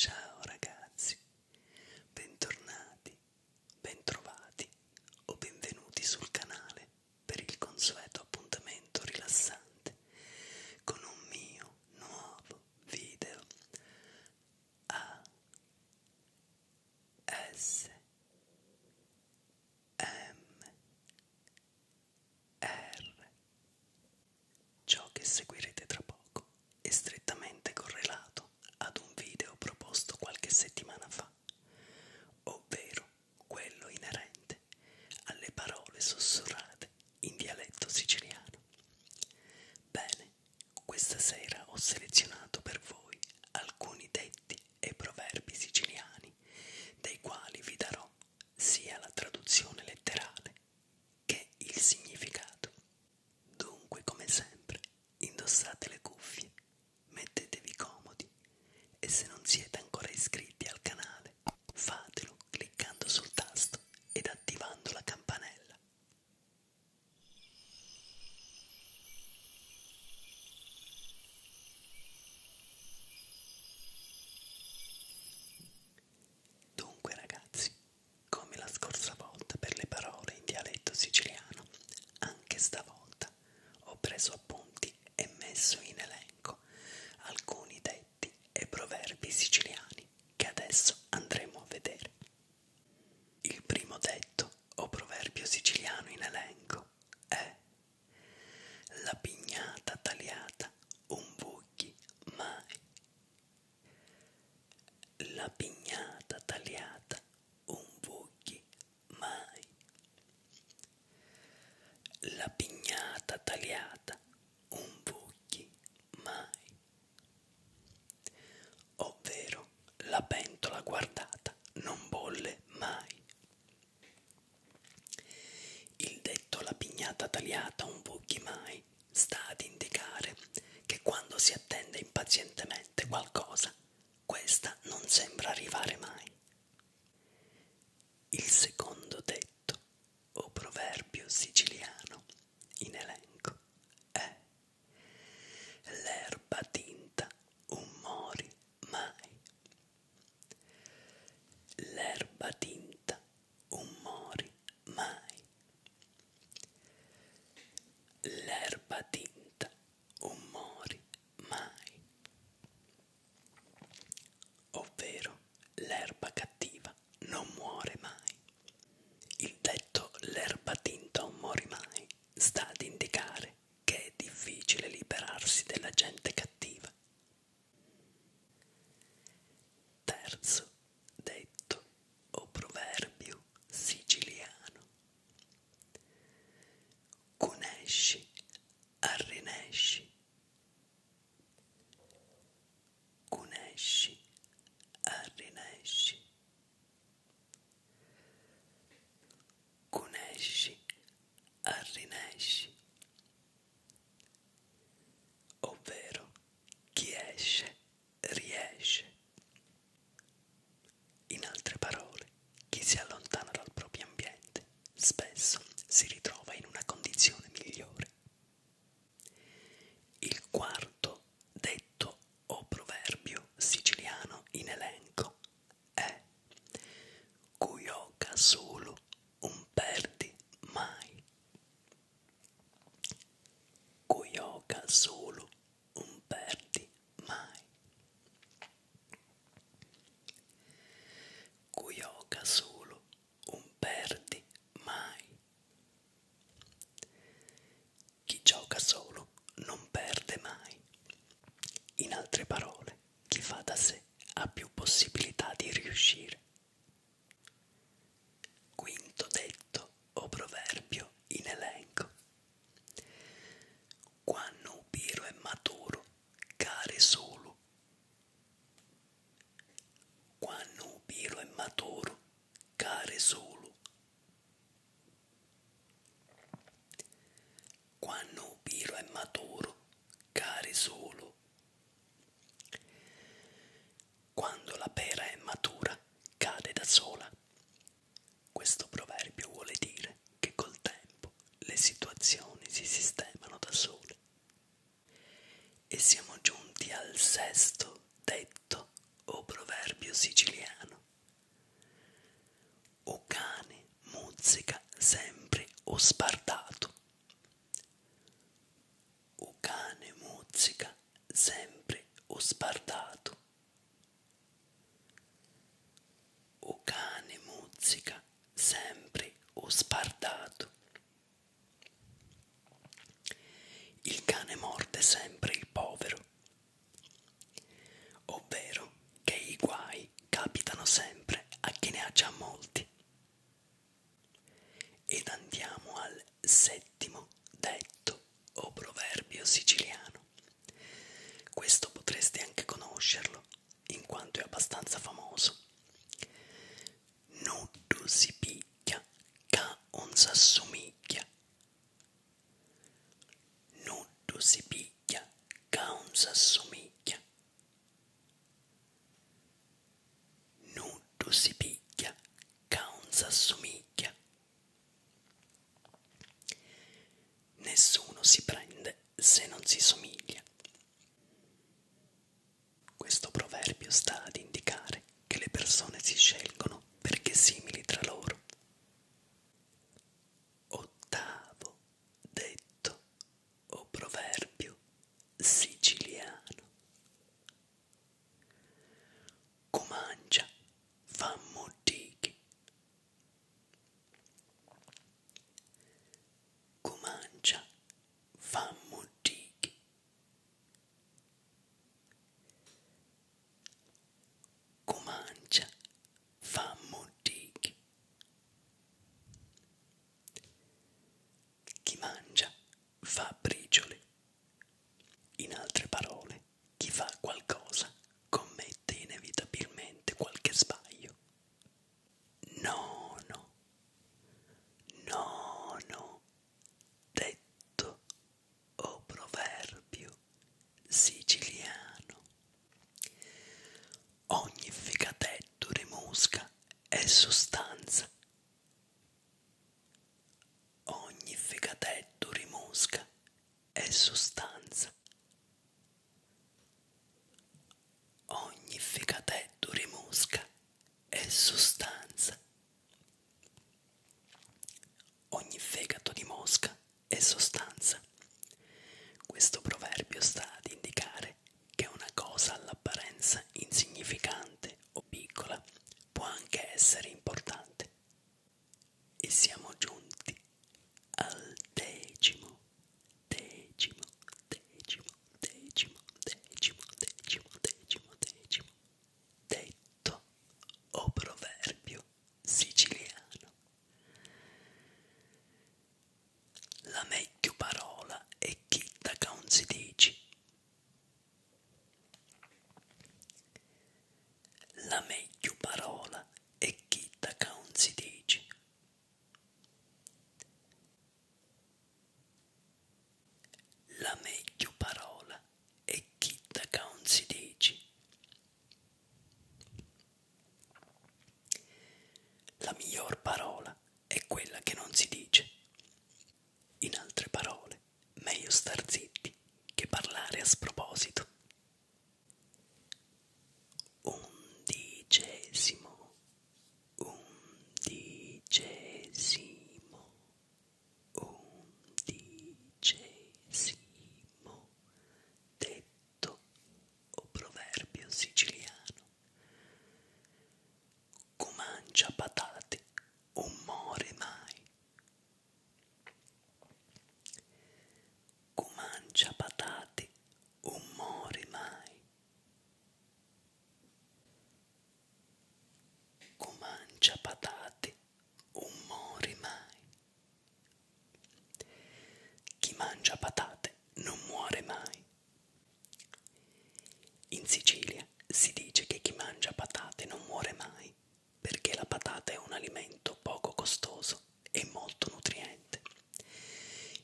Ciao ragazzi, bentornati, bentrovati o benvenuti sul canale per il consueto appuntamento rilassante con un mio nuovo video A S M R Ciò che seguirete tra poco è strettamente correlato ad un video proposto qualche settimana fa, ovvero quello inerente alle parole sussurrate in dialetto siciliano. Bene, questa sera ho selezionato per voi alcuni detti e proverbi siciliani dei quali vi darò sia la traduzione letterale che il significato. Dunque, come sempre, indossate le cuffie mettetevi comodi e se non siete ancora iscritti al canale fatelo cliccando sul tasto ed attivando la campanella. Dunque ragazzi, come la scorsa volta per le parole in dialetto siciliano, anche stavolta lista. Ho preso appunti e messo in elenco alcuni detti e proverbi siciliani che adesso andremo a vedere. Il primo detto o proverbio siciliano in elenco è la pignata tagliata un buchi mai. La pignata tagliata un buchi mai. La pignata tagliata, un buchi mai. Ovvero la pentola guardata non bolle mai. Il detto la pignata tagliata, un buchi mai sta ad indicare che quando si attende impazientemente qualcosa, questa non sembra arrivare mai. Il secondo detto o proverbio siciliano in elenco è L'erba tinta un mori mai. L'erba tinta un mori mai. L'erba tinta un mori mai ovvero l'erba cattiva non muore mai. Il detto l'erba tinta non muore mai sta ad indicare che è difficile liberarsi della gente cattiva. Terzo detto o proverbio siciliano. Cunesci Arrinesci, Cunesci, Arrinesci, Cunesci, Arrinesci, ovvero chi esce riesce. In altre parole, chi si allontana dal proprio ambiente spesso si ritrova in una condizione migliore. Il quarto detto o proverbio siciliano in elenco è Cuioca solo un perdi mai. Cuioca solo un perdi mai. Cuioca solo un perdi mai. Chi gioca solo non perde mai. In altre parole, chi fa da sé ha più possibilità di riuscire. Quinto detto o proverbio in elenco. Quando un piro è maturo care solo. Quando piro è maturo, care solo. Quando piro è maturo, care solo. Quando la pera è matura, cade da sola. Questo proverbio vuole dire che col tempo le situazioni si sistemano da sole. E siamo giunti al sesto detto o proverbio siciliano. O cane muzzica sempre o sbardato. O cane muzzica sempre o sbardato. O cane muzzica sempre o sbardato. Il cane morde sempre il povero, ovvero che i guai capitano sempre a chi ne ha già molti. Ed andiamo al settimo detto o proverbio siciliano. Questo potresti anche conoscerlo in quanto è abbastanza famoso. Nuddu si picchia, ca on s'assomiglia. Nuddu si picchia, ca on s'assomiglia. Nuddu si picchia, ca on s'assomiglia nessuno si prende se non si somiglia. Questo proverbio sta ad indicare che le persone si scelgono perché simili tra loro. Ottavo detto o proverbio siciliano. Comancia, fa modichi, Comancia fammudig. Comancia fammudig. Chi mangia fa briciole. In altre parole, chi fa qualcosa commette inevitabilmente qualche sbaglio nono nono detto o proverbio siciliano ogni ficatetto rimusca è sostanza ogni ficatetto rimusca è sostanza Ogni fegatetto rimusca è sostanza. Ogni fegato di mosca è sostanza. Questo proverbio sta ad indicare che una cosa all'apparenza insignificante o piccola può anche essere importante. E siamo giunti al decimo, decimo, decimo, decimo, decimo, decimo, decimo, decimo. Detto o proverbio siciliano. La meglio parola è chitta che non si dici. La meglio parola è chitta che non si dici. La meglio parola è chitta caun si dici. La miglior parola è quella che non si dice. In altre parole, meglio star zitti che parlare a sproposito undicesimo undicesimo undicesimo detto o proverbio siciliano comancia patate o more mai comancia patate umori mai. Comancia patate, umori mai. Chi mangia patate non muore mai. In Sicilia si dice che chi mangia patate non muore mai perché la patata è un alimento poco costoso e molto nutriente.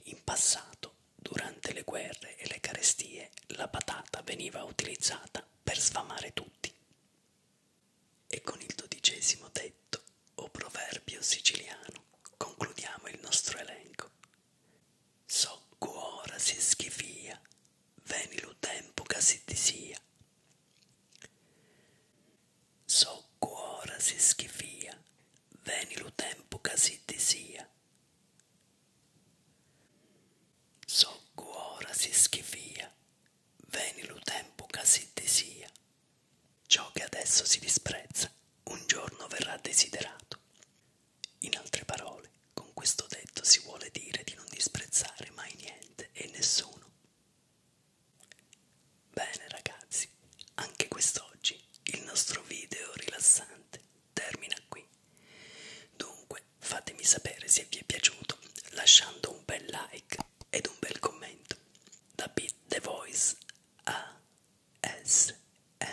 In passato, durante le guerre e le carestie, la patata veniva utilizzata per sfamare tutti. E con il dodicesimo detto o proverbio siciliano concludiamo il nostro elenco. So cuora si schifia, veni lo tempo che si disia soccuora si schifia, veni lo tempo che si disia. Soccuora si schifia, veni lo tempo che si disia. Ciò che adesso si disprezza, un giorno verrà desiderato. In altre parole, con questo detto si vuole dire di non disprezzare mai niente e nessuno. Bene ragazzi, anche quest'oggi il nostro video rilassante termina qui. Dunque fatemi sapere se vi è piaciuto lasciando un bel like ed un bel commento. Da Beat The Voice a SMR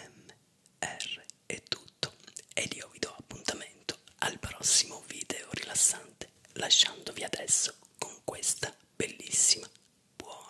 è tutto ed io vi do appuntamento al prossimo video rilassante lasciandovi adesso con questa bellissima buona